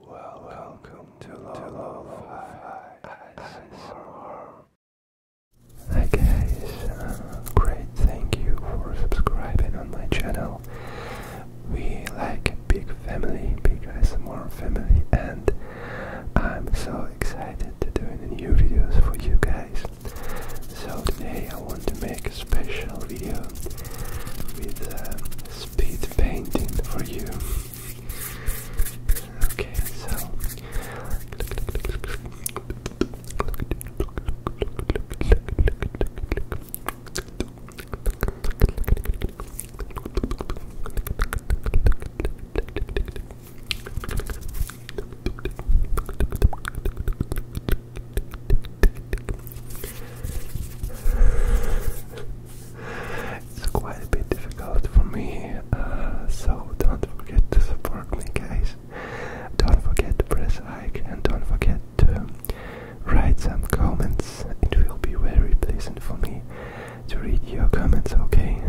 Well, welcome to Love Hi. Hi guys, uh, great, thank you for subscribing on my channel. We like big family, big more family, and I'm so excited to do new videos for you guys. So today I want to make a special video with. Uh, speed painting for you. Okay, so it's quite a bit difficult for me, uh, so don't forget to support me, guys. Don't forget to press like and don't forget to write some comments. It will be very pleasant for me to read your comments, okay?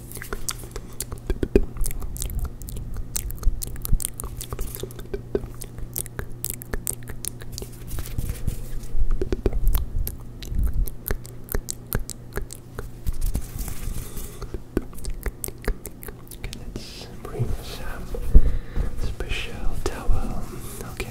Okay, let's bring some special towel. Okay.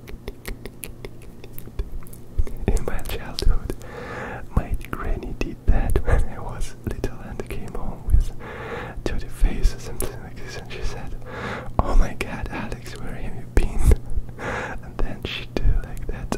In my childhood, my granny did that when I was little and came home with dirty face or something like this, and she said, "Oh my God, Alex, where have you been?" and then she do like that.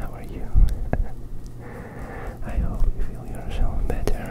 How are you? I hope you feel yourself better.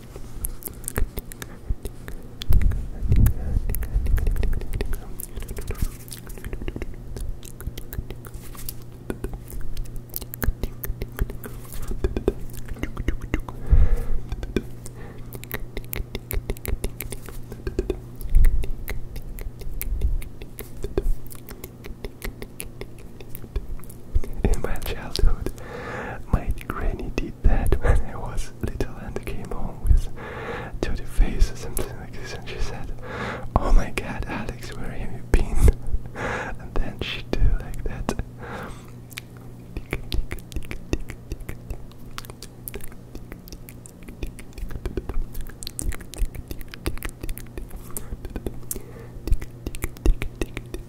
In my childhood, my granny did that when I was little and came home with dirty faces and things like this and she said, Oh my god, Alex, where have you been? and then she do like that.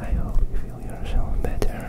I hope you feel yourself better.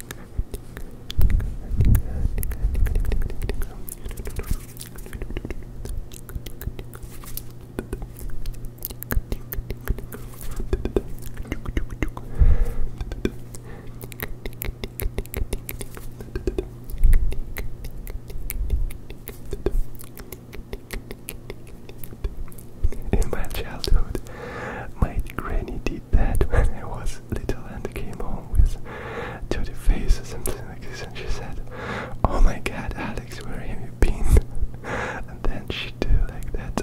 In my childhood, my granny did that when I was little and came home with to the face or something like this, and she said, "Oh my God, Alex, where have you been?" and then she did like that.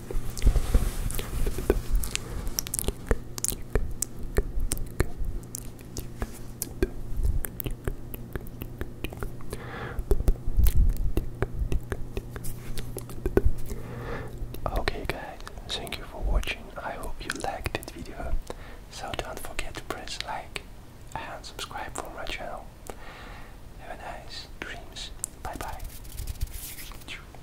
Okay guys, thank you for watching. I hope you liked this video. So don't forget to press like and subscribe for my channel. Have a nice dreams. Bye bye.